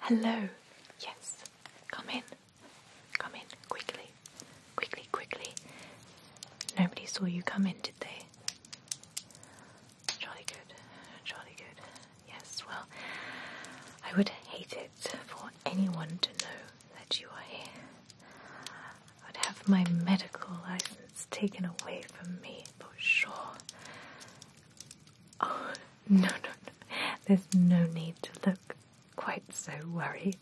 Hello. Yes. Come in. Come in. Quickly. Quickly, quickly. Nobody saw you come in, did they? Jolly good. Jolly good. Yes, well, I would hate it for anyone to know that you are here. I would have my medical license taken away from me for sure. Oh, no, no, no. There's no need to look quite so worried.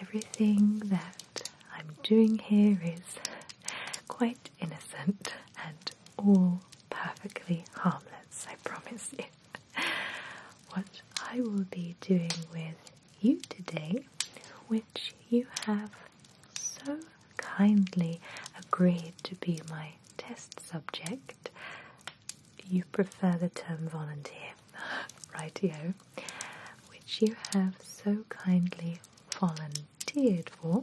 Everything that I'm doing here is quite innocent and all perfectly harmless, I promise you. What I will be doing with you today, which you have so kindly agreed to be my test subject, you prefer the term volunteer, rightio, which you have so kindly volunteered for,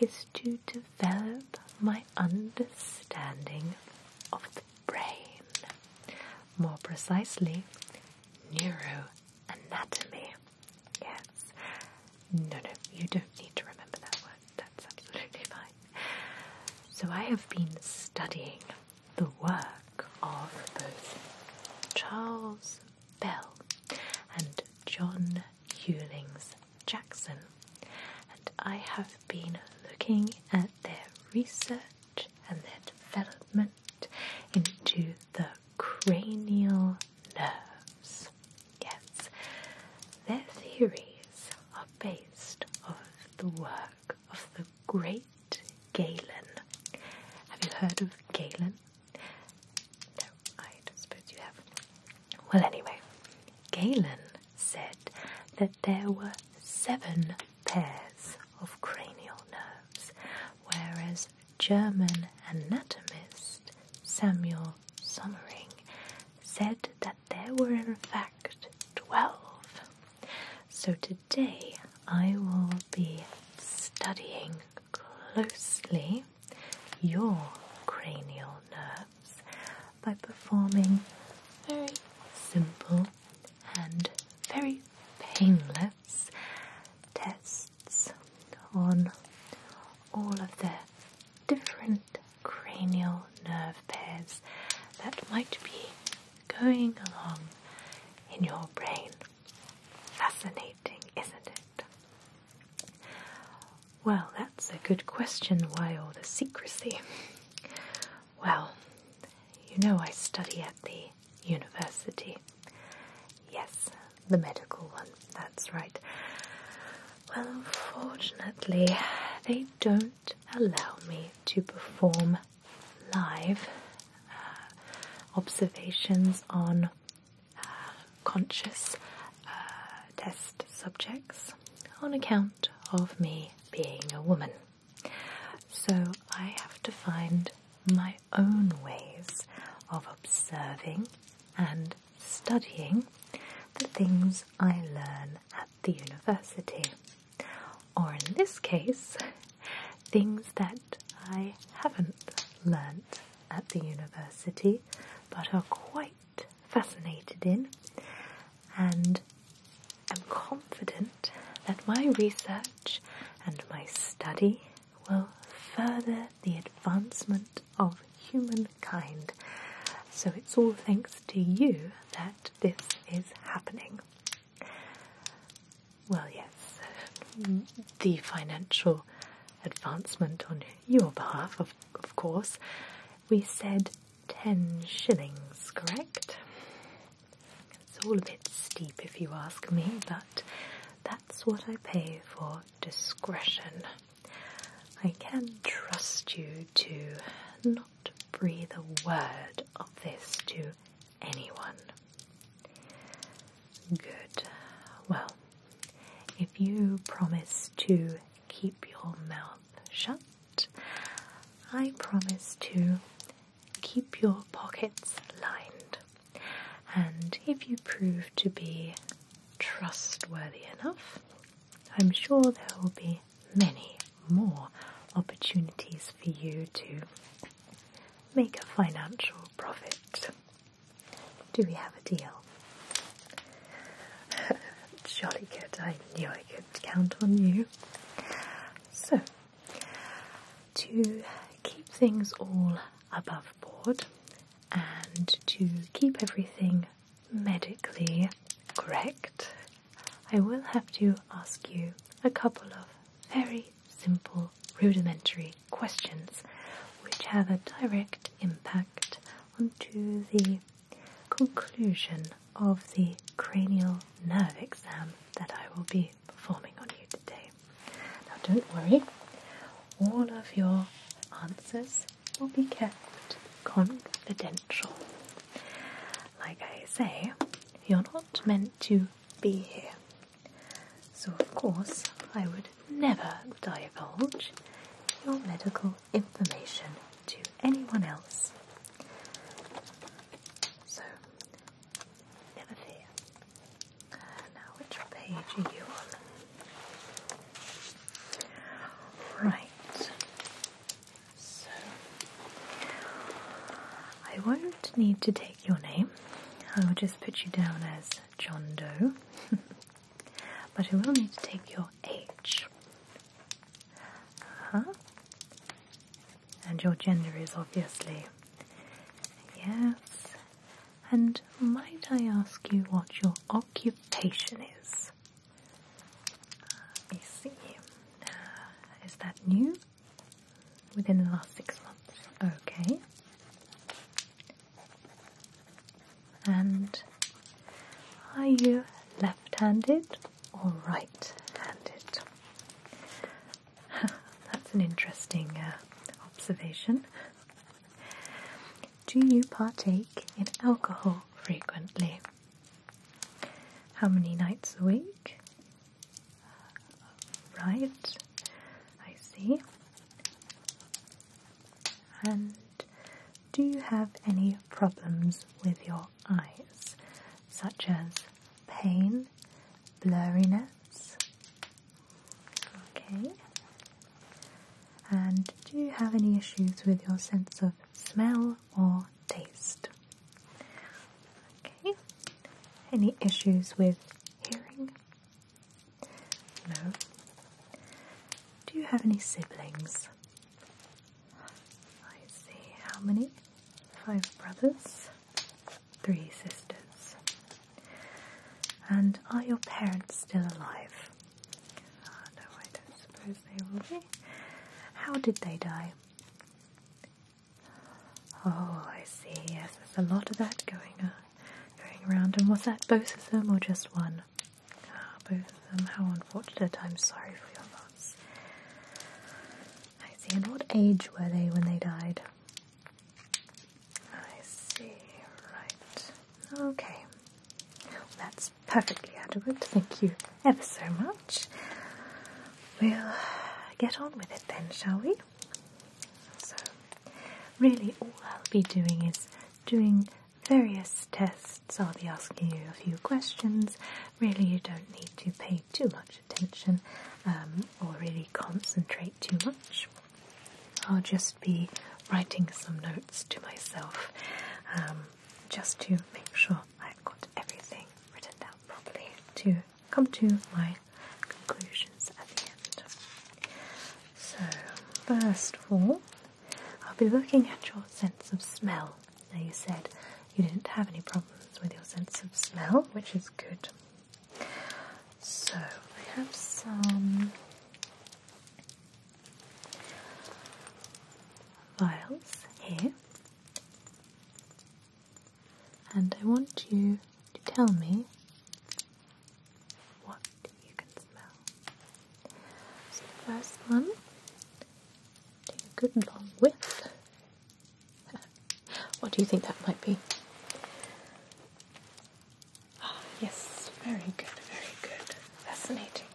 is to develop my understanding of the brain, more precisely, neuroanatomy. Yes. No, no, you don't need to remember that word. That's absolutely fine. So I have been studying the work of both Charles Bell and John Hewlings Jackson, and I have been looking at their research and their development into the cranial nerves. Yes, their theories are based on the work of the great Galen. Have you heard of Galen? No, I suppose you have. Well, anyway, Galen said that there were seven pairs of cranial nerves, whereas German anatomist Samuel Sommering said that there were in fact 12. So today I will be studying closely your cranial nerves by performing very simple and very painless tests on all of their different cranial nerve pairs that might be going along in your brain. Fascinating, isn't it? Well, that's a good question. Why all the secrecy? Well, you know, I study at the university. Yes, the medical one, that's right. Well, unfortunately, they don't allow me to perform live uh, observations on uh, conscious uh, test subjects on account of me being a woman. So I have to find my own ways of observing and studying the things I learn at the university, or in this case, things that I haven't learnt at the university but are quite fascinated in, and am confident that my research and my study will further the advancement of humankind. So it's all thanks to you that this is happening. Well, yes, the financial advancement on your behalf, of, of course. We said 10 shillings, correct? It's all a bit steep if you ask me, but that's what I pay for discretion. I can trust you to not breathe a word of this to anyone. Good. Well, if you promise to keep your mouth shut, I promise to keep your pockets lined. And if you prove to be trustworthy enough, I'm sure there will be many more opportunities for you to make a financial profit. Do we have a deal? Jolly good, I knew I could count on you. So, to keep things all above board and to keep everything medically correct, I will have to ask you a couple of very simple, rudimentary questions which have a direct impact onto the conclusion of the cranial nerve exam that I will be performing on you today. Now, don't worry, all of your answers will be kept confidential. Like I say, you're not meant to be here. So, of course, I would never divulge your medical information to anyone else. So, never fear. now, which page are you on? Right. So, I won't need to take your name. I will just put you down as John Doe. but I will need to take your age. huh. And your gender is obviously yes. And might I ask you what your occupation is? Let me see. Uh, is that new? Within the last six months. Okay. And are you left-handed or right-handed? That's an interesting uh, observation. Do you partake in alcohol frequently? How many nights a week? Right, I see. And do you have any problems with your eyes, such as pain, blurriness? Okay. And do you have any issues with your sense of smell or taste. Okay. Any issues with hearing? No. Do you have any siblings? I see. How many? Five brothers, three sisters. And are your parents still alive? Oh, I don't suppose they will be. How did they die? Oh, I see. Yes, there's a lot of that going on, going around. And was that both of them or just one? Ah, both of them. How unfortunate. I'm sorry for your loss. I see. And what age were they when they died? I see. Right. Okay. that's perfectly adequate. Thank you ever so much. We'll get on with it then, shall we? So, really, all I'll be doing is doing various tests. I'll be asking you a few questions. Really, you don't need to pay too much attention um, or really concentrate too much. I'll just be writing some notes to myself um, just to make sure I've got everything written down properly to come to my conclusions at the end. So, first of all, I'll be looking at your sense of smell. Now, you said you didn't have any problems with your sense of smell, which is good. So, I have some vials here, and I want you to tell me what you can smell. So, first one, take a good long whiff. what do you think that might be? Ah, yes, very good, very good. Fascinating.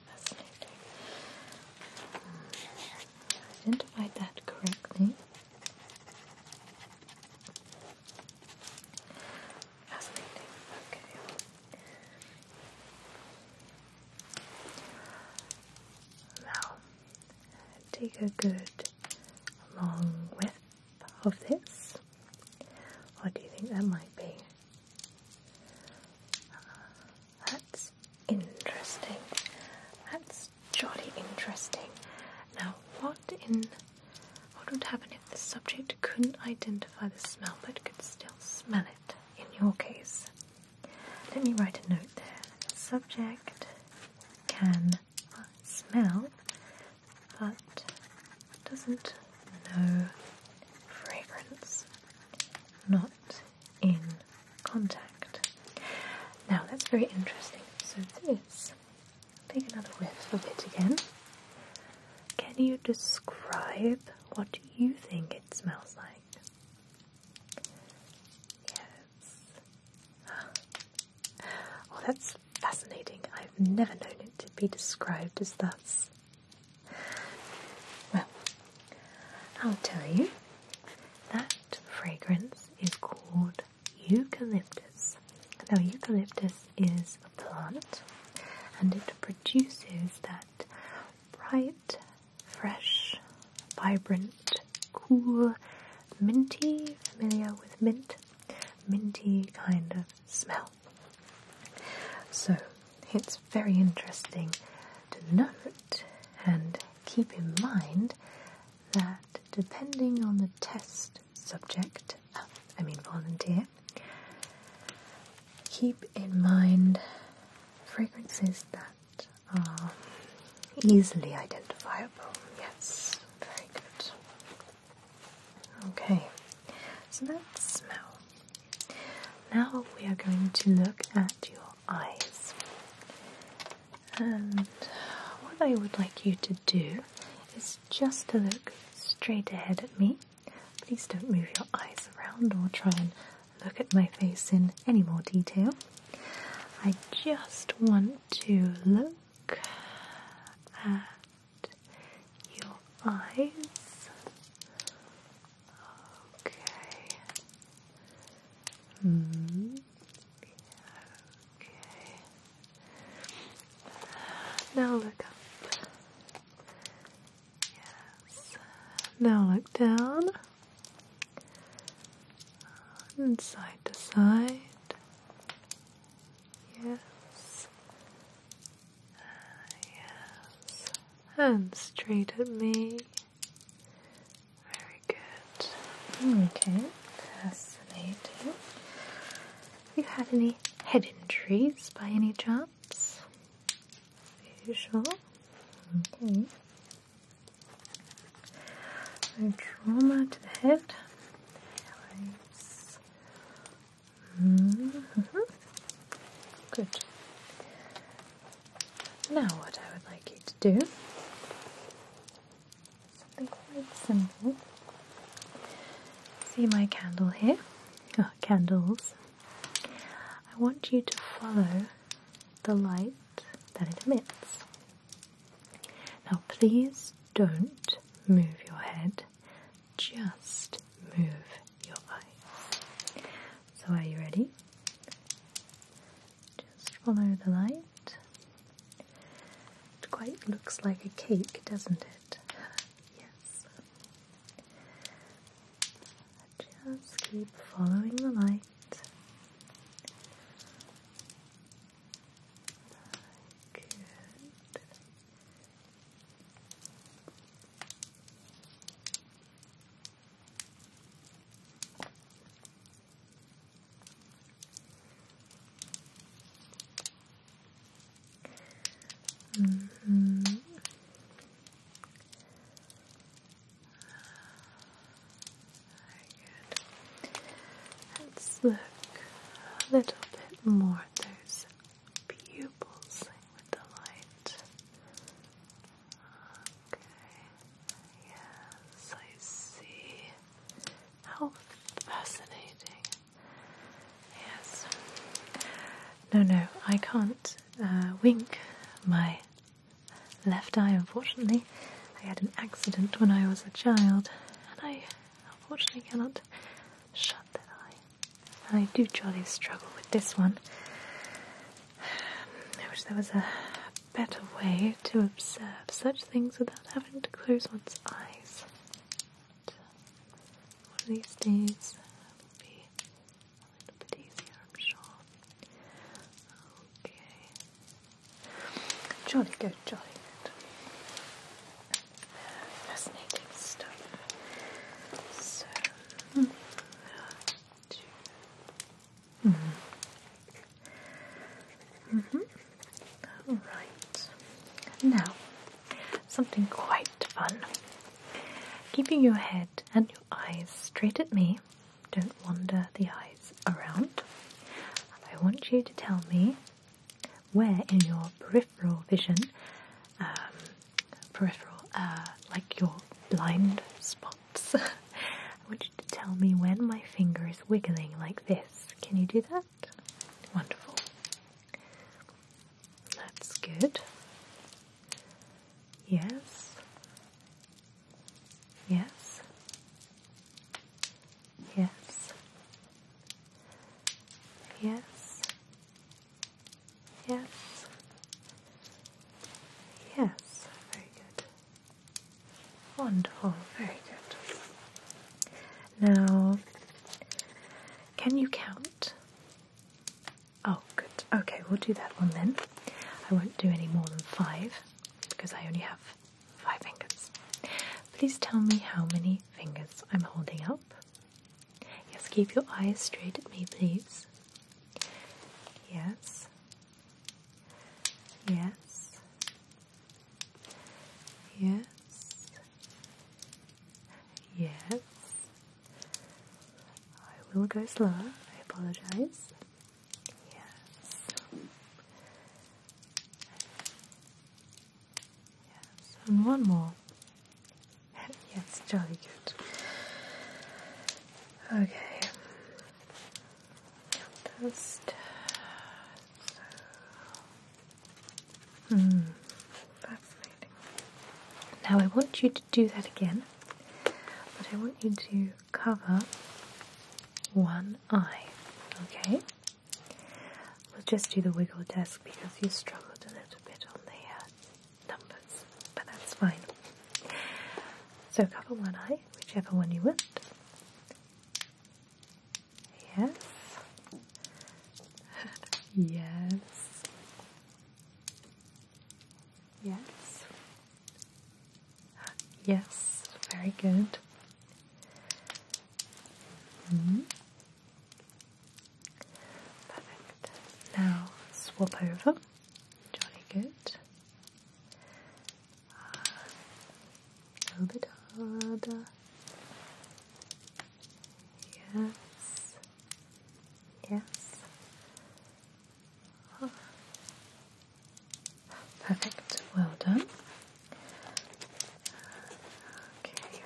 I identified that correctly. Fascinating. Okay. Now, take a good long whiff of this. What do you think that might be? Uh, interesting. That's jolly interesting. Now, what in what would happen if the subject couldn't identify the smell but could still smell it? In your case, let me write a note there. subject can smell but doesn't know fragrance. Not in contact. Now that's very interesting. So this, take another whiff of it again. Can you describe what you think it smells like? Yes. Oh, that's fascinating. I've never known it to be described as thus. Well, I'll tell you that fragrance is called eucalyptus. Now, eucalyptus is a plant and it produces that bright, fresh, vibrant, cool, minty, familiar with mint, minty kind of smell. So, it's very interesting to note and keep in mind that depending on the test subject, I mean volunteer, keep in mind fragrances that are easily identifiable. Yes, very good. Okay, so that smell. Now we are going to look at your eyes. And what I would like you to do is just to look straight ahead at me. Please don't move your eyes around or try and look at my face in any more detail. I just want to look at your eyes Okay. -hmm. Okay. Now look up. Yes. Now look down. And side to side. Yes. Yes. And straight at me. Very good. Okay, fascinating. you had any head injuries by any chance? Are you sure? Okay. No trauma to the head. Mm-hmm. Good. Now, what I would like you to do something quite simple. See my candle here? Oh, candles. I want you to follow the light that it emits. Now, please don't move your head, just move your eyes. So are you ready? Just follow the light. It quite looks like a cake, doesn't it? yes. Just keep following the light. Good. -hmm. Let's look a little bit more those pupils with the light. Okay. Yes, I see. How fascinating. Yes. No, no, I can't uh, wink my left eye, unfortunately. I had an accident when I was a child, and I unfortunately cannot shut that eye. And I do jolly struggle with this one. I wish there was a better way to observe such things without having to close one's eyes. these days uh, be a little bit easier, Okay. Jolly good, jolly good. Fascinating stuff. So, mm, -hmm. -hmm. All right. Now, something quite fun. Keeping your head and your eyes straight at me, don't wander the eyes around. I want you to tell me where in your peripheral vision, um, peripheral, uh, like your blind spot I want you to tell me when my finger is wiggling like this. Can you do that? Wonderful. That's good. Yes. Yes. Yes. Yes. Yes. Yes, very good. Wonderful, very good. Now, can you count? Oh, good. Okay, we'll do that one then. I won't do any more than five because I only have five fingers. Please tell me how many fingers I'm holding up. Yes, keep your eyes straight at me, please. Yes, Yes. Yes. Yes. I will go slower. I apologize. Yes. Yes. And one more. yes, jolly good. Okay. Just so. Hmm. Fascinating. Now I want you to do that again, but I want you to cover one eye. Okay. We'll just do the wiggle desk because you struggled a little bit on the uh, numbers, but that's fine. So cover one eye. Whichever one you want. Yes. yes. Yes. Yes. Very good. Mm-hmm. Perfect. Now swap over. Johnny, good. Uh, a little bit harder. Yes. Yes. Ah. Perfect. Well done. Okay.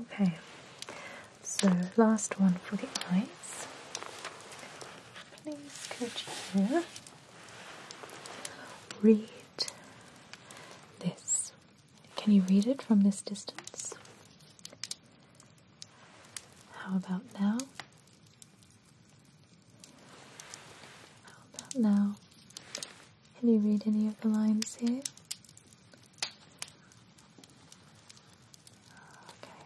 Okay, so last one for the eyes. Please, could you read this? Can you read it from this distance? How about now? How about now? Can you read any of the lines here? Okay.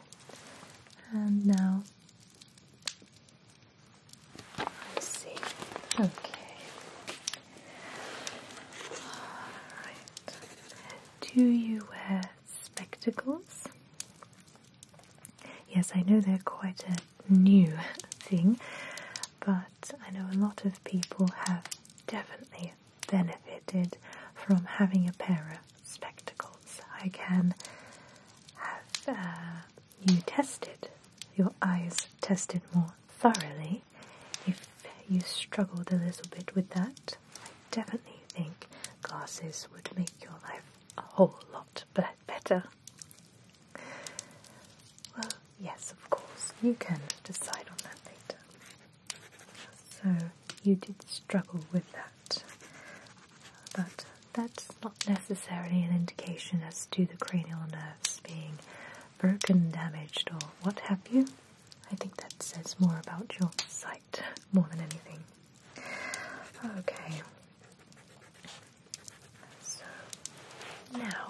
And um, now. I see. Okay. Alright. Do you wear spectacles? Yes, I know they're quite a new thing, but I know a lot of people have definitely benefited from having a pair of spectacles. I can have uh, you tested, your eyes tested more thoroughly if you struggled a little bit with that. I definitely think glasses would make your life a whole lot better. Well, Yes, of course. You can decide on that later. So you did struggle with that. But that's not necessarily an indication as to the cranial nerves being broken, damaged, or what have you. I think that says more about your sight more than anything. Okay. So now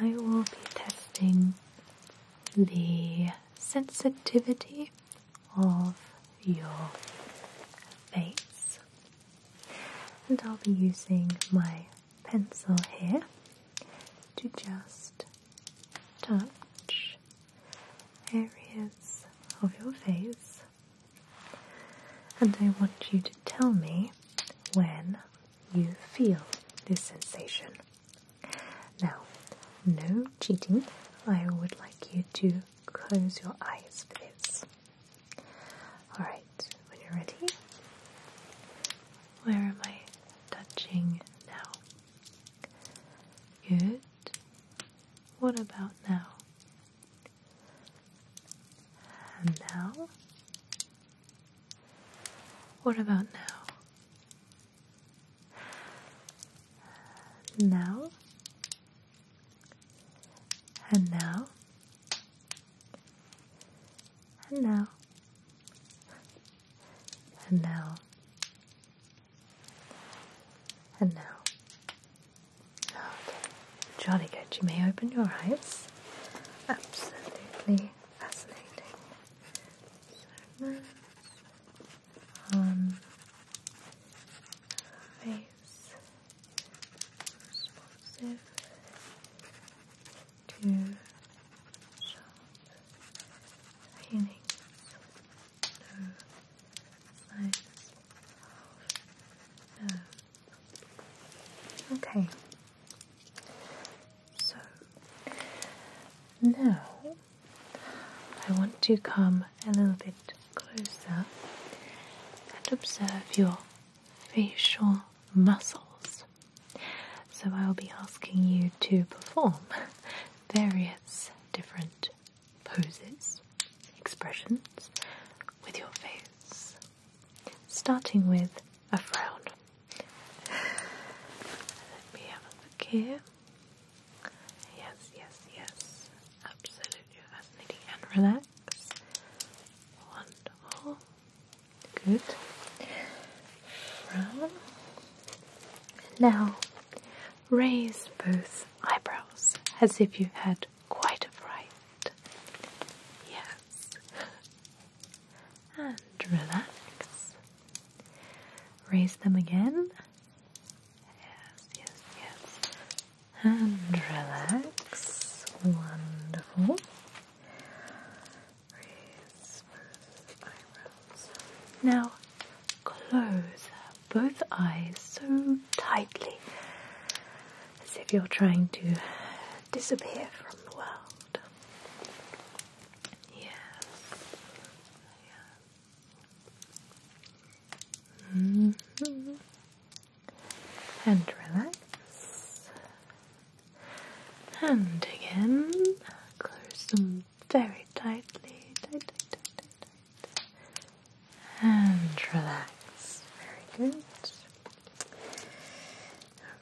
I will be testing the sensitivity of your face. And I'll be using my pencil here to just touch areas of your face. And I want you to tell me when you feel this sensation. Now, no cheating. I would like you to close your eyes for this. Alright, when you're ready, where am I touching now? Good. What about now? now, what about now? Now? And now? And now? And now? And now? Okay, jolly good. You may open your eyes. Absolutely fascinating segments on face responsive to sharp painings. No signs of nerve. Okay. So now I want to come a little bit closer and observe your facial muscles. So I'll be asking you to perform various different poses, expressions with your face, starting with a frown. Let me have a look here. Yes, yes, yes. Absolutely fascinating and relax. Wonderful. Good. Brown. Now, raise both eyebrows as if you had quite a fright. Yes. And relax. Raise them again. Yes, yes, yes. And relax. Wonderful. Now close both eyes so tightly as if you're trying to disappear from the world. Yes. Mm-hmm. And relax. And again, close them very tightly. Tight, tight, tight, tight, tight. And relax. Very good.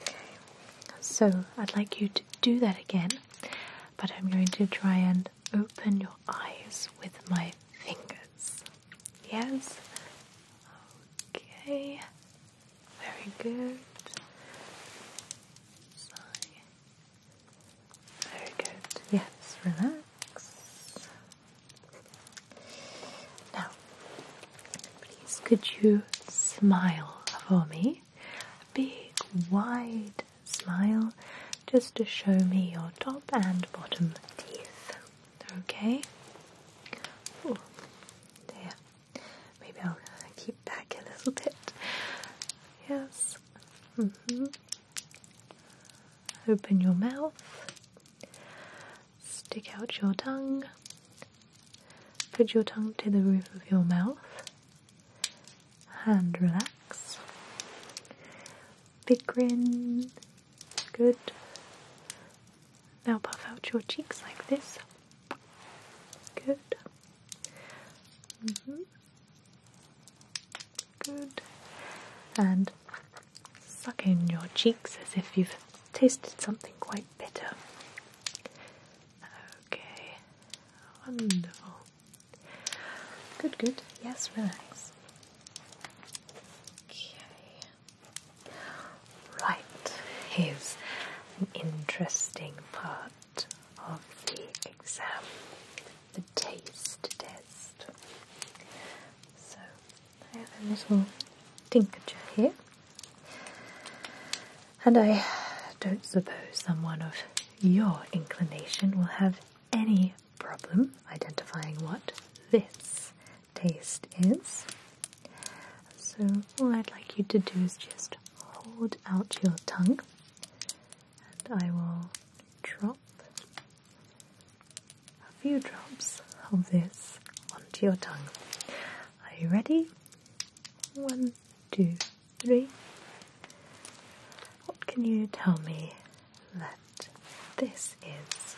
Okay, so I'd like you to do that again, but I'm going to try and open your eyes with my fingers. Yes? Okay, very good. Very good. Yes, relax. Now, please could you smile for me? big wide smile just to show me your top and bottom teeth. Okay? there. Maybe I'll keep back a little bit. Yes. Mm-hmm. Open your mouth. Stick out your tongue. Put your tongue to the roof of your mouth and relax. Big grin. Good. Now puff out your cheeks like this. Good. Mm -hmm. Good. And suck in your cheeks as if you've tasted something quite bitter. Okay. Wonderful. Good, good. Yes, relax. Okay. Right, here's an interesting part of the exam the taste test. So, I have a little tincture here. And I don't suppose someone of your inclination will have any problem identifying what this taste is. So, all I'd like you to do is just hold out your tongue, and I will drop a few drops of this onto your tongue. Are you ready? One, two, three. What can you tell me that this is?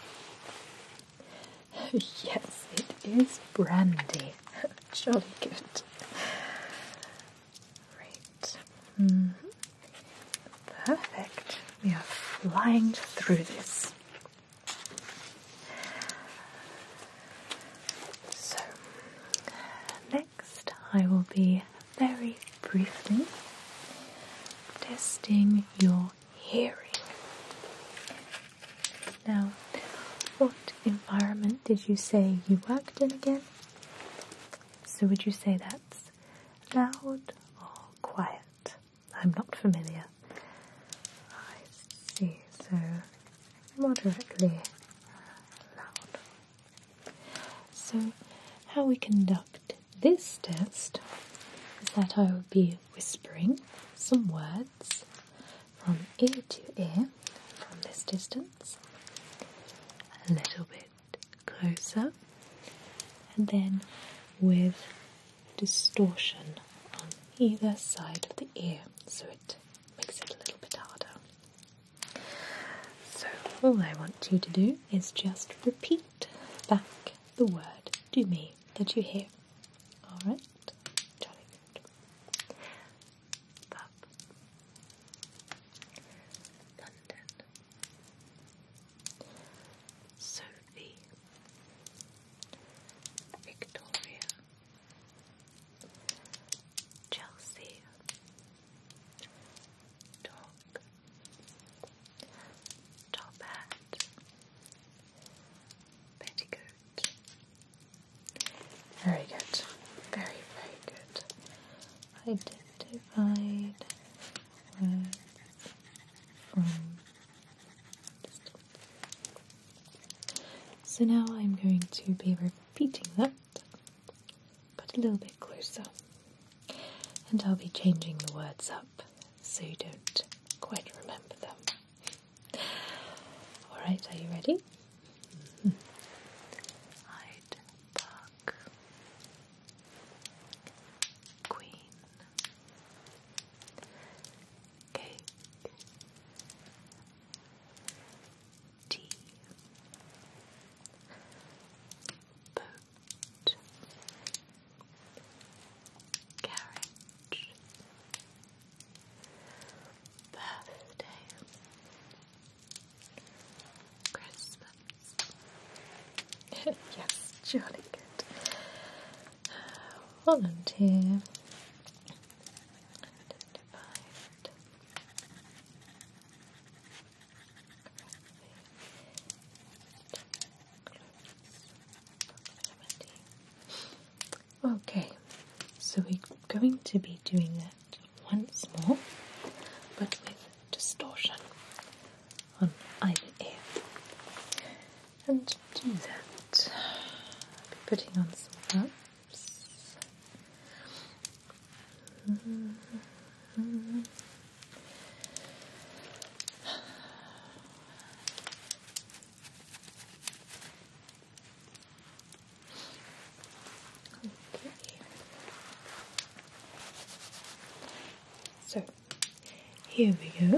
yes, it is brandy. Jolly good. Right. Mm-hmm. Perfect. We are flying through this. So, next I will be very briefly testing your hearing. Now, what environment did you say you worked in again? So, would you say that's loud or quiet? I'm not familiar. I see, so moderately loud. So, how we conduct this test is that I will be whispering some words from ear to ear from this distance, a little bit closer, and then with distortion on either side of the ear so it makes it a little bit harder. So, all I want you to do is just repeat back the word to me that you hear. Alright? Jolly good. London. Sophie. Victoria. Chelsea Dog Top Hat Petticoat Very good. Very, very good. Identified So now I'm going to be repeating them but a little bit closer. And I'll be changing the words up so you don't quite remember them. Alright, are you ready? Mm -hmm. Queen, Cake, tea. Boat. Carriage. Birthday. Christmas. yes, jolly good. Uh, volunteer. Okay, so we're going to be doing that once more, but with distortion on either ear. And to do that, I'll be putting on some gloves. So here we go.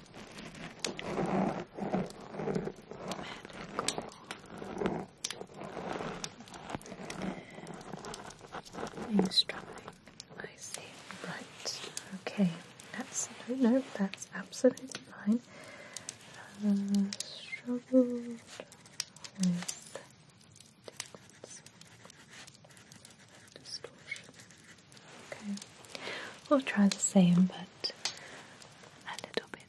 Medical. Eavesdropping. I see. Right. Okay. That's no, no. That's absolutely fine. Uh, struggled with uh, difference. Okay. We'll try the same, but a little bit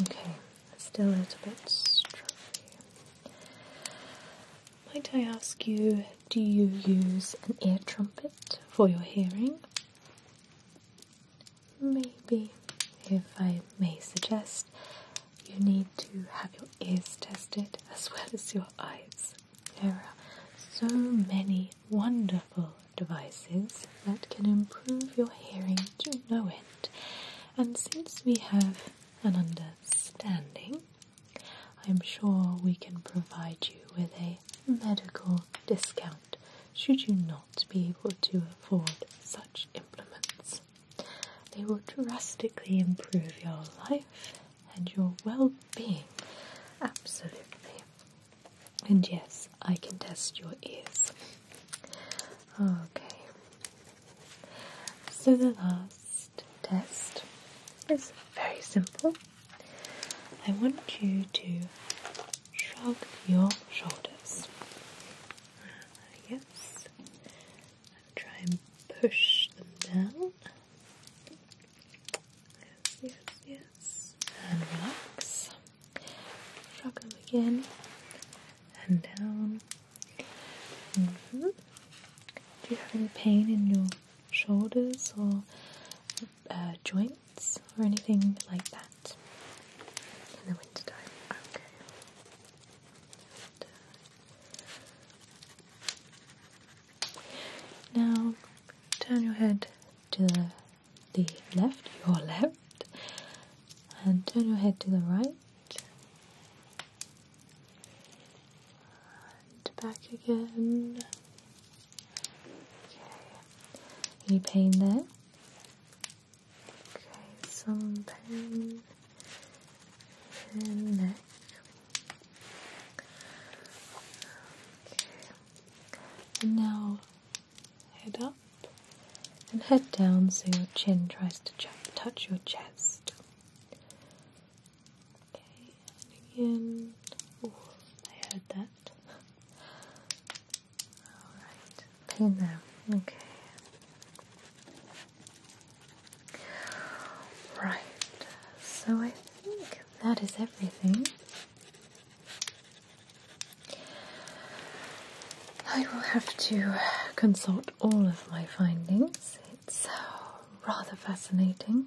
Okay, still a little bit strawberry. Might I ask you, do you use an ear trumpet for your hearing? maybe, if I may suggest, you need to have your ears tested as well as your eyes. There are so many wonderful devices that can improve your hearing to no end. And since we have an understanding, I'm sure we can provide you with a medical discount should you not be able to afford such implements. They will drastically improve your life and your well being. Absolutely. And yes, I can test your ears. Okay. So the last test is very simple. I want you to shrug your shoulders. Ah, yes. try and push them down. Yes, yes, yes. And relax. Shrug them again. And down. Mm-hmm. Do you have any pain in your shoulders or uh, joints? or anything like that in the winter time. Okay. now turn your head to the, the left, your left, and turn your head to the right. And back again. Okay. Any pain there? Okay, some pain in neck. And now head up and head down so your chin tries to touch your chest. Okay, and I heard that. Alright, paint them. Okay. Right, so I think that is everything. I will have to consult all of my findings. It's uh, rather fascinating.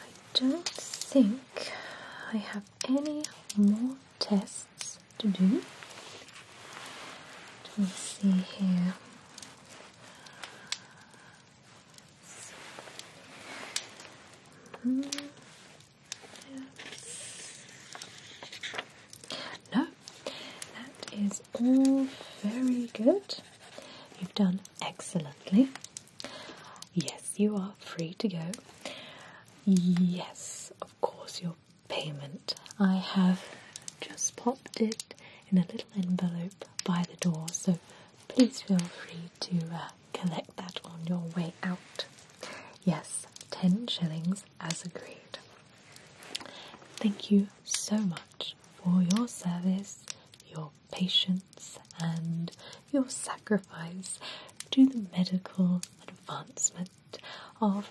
I don't think I have any more tests to do. Let me see here. Mm No, that is all very good. You've done excellently. Yes, you are free to go. Yes, of course, your payment. I have just popped it in a little envelope by the door, so please feel free to uh, collect that on your way out. Yes, 10 shillings as agreed. Thank you so much for your service, your patience, and your sacrifice to the medical advancement of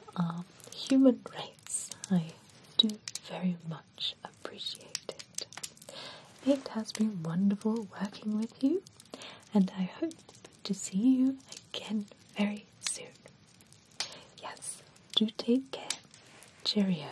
human rights I do very much appreciate it. It has been wonderful working with you, and I hope to see you again very soon. Yes, do take care. Cheerio.